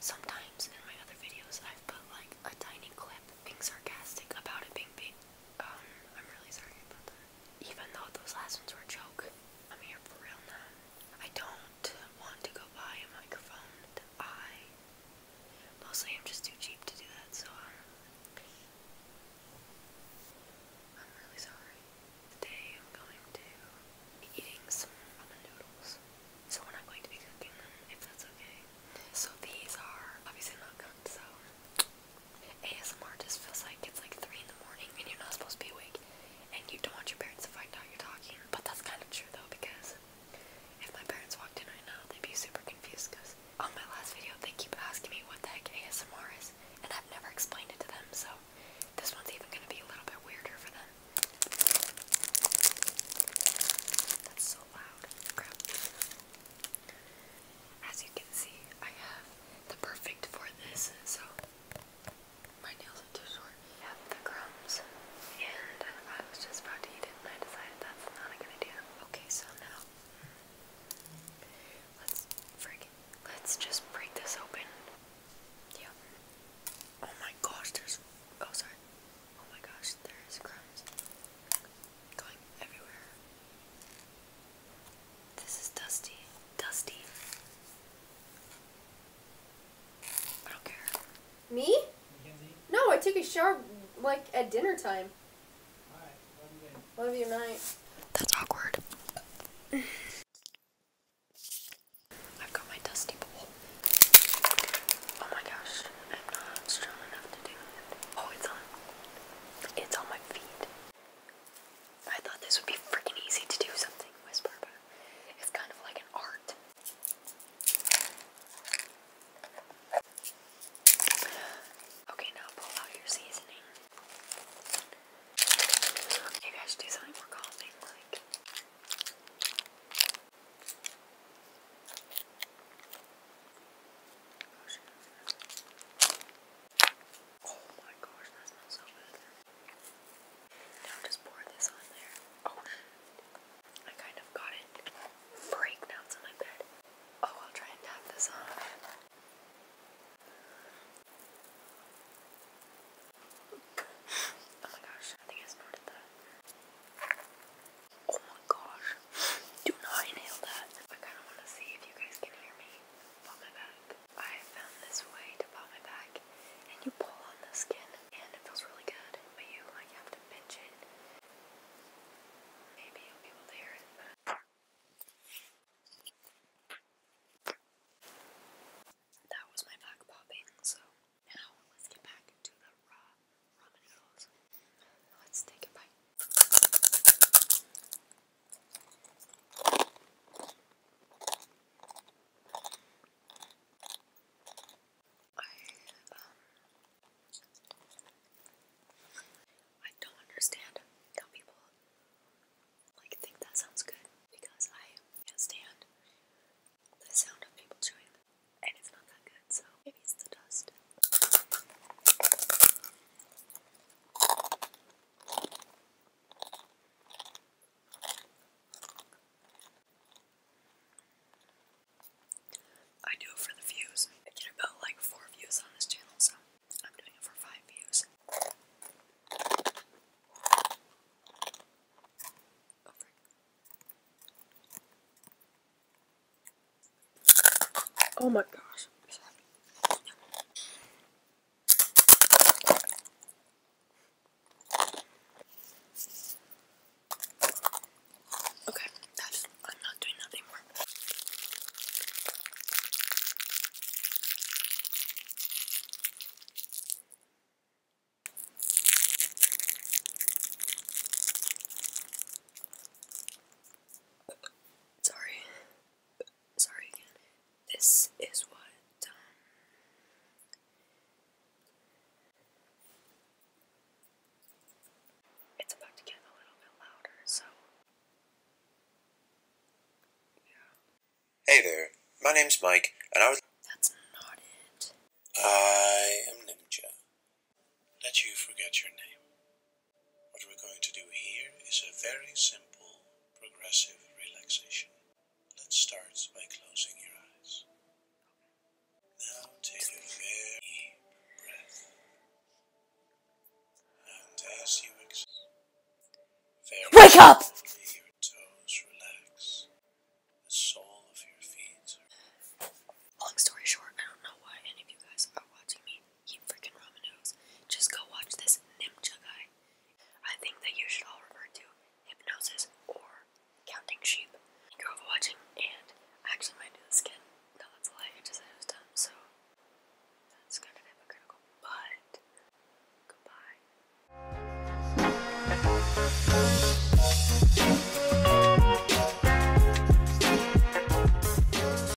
Sometimes in my other videos, I've put like a tiny clip being sarcastic about it being big. Um, I'm really sorry about them. Even though those last ones were a joke, I'm here for real now. I don't want to go buy a microphone. I mostly am just too cheap to do that, so um, I'm really sorry. Today I'm going to be eating some ramen noodles. So we're not going to be cooking them, if that's okay. So these are obviously not cooked, so ASMR just feels like it's like 3 in the morning and you're not supposed to be awake and you don't want your parents to find out you're talking. But that's kind of true though because if my parents walked in right now, they'd be super confused because on my last video they keep asking me what the heck ASMR is and I've never explained it to them, so this one's even going to be a little bit weirder for them. That's so loud. As you can see, I have the perfect for this, so my nails are too short. I have the crumbs, and I was just about to eat it, and I decided that's not a good idea. Okay, so now let's friggin' Let's just break this open. Yep. Oh my gosh, there's. Oh, sorry. Oh my gosh, there is crumbs going everywhere. This is dusty. Dusty. I don't care. Me? No, I took a shower like at dinner time. Love you, night. That's awkward. I've got my dusty bowl. Oh my gosh, I'm not strong enough to do it. Oh, it's on. It's on my feet. I thought this would be freaking easy to do something, whisper, it's kind of like an art. Okay, now pull out your seasoning. Maybe I do something more calming, like. Oh my gosh, that smells so good. Now just pour this on there. Oh, I kind of got it freaked out on my bed. Oh, I'll try and tap this on. oh my gosh, I think I snorted that. Oh my gosh. Do not inhale that. I kind of want to see if you guys can hear me pop my back. I found this way to pop my back, and you pull on the skin, and it feels really good, but you like have to pinch it Maybe you'll be able to hear it then. That was my back popping, so now let's get back to the raw ramen noodles. Let's take a bite. I don't understand how people like think that sounds good because I can the sound of people chewing and it's not that good, so it's the dust. I do it for the views. I get about like four views on this channel, so I'm doing it for five views. Oh, Oh my gosh. Okay, that's I'm not doing nothing more. Sorry. Sorry again this is what Hey there, my name's Mike, and I was. That's not it. I am Ninja. Let you forget your name. What we're going to do here is a very simple progressive relaxation. Let's start by closing your eyes. Now take a very deep breath. And as you exhale, wake up! relax. The sole of your feet. Long story short, I don't know why any of you guys are watching me eat freaking ramen Just go watch this Nimcha guy. I think that you should all refer to hypnosis or counting sheep. you are overwatching, and actually might do this again. that's a lie. I just said it was done, so that's kind of hypocritical. But goodbye.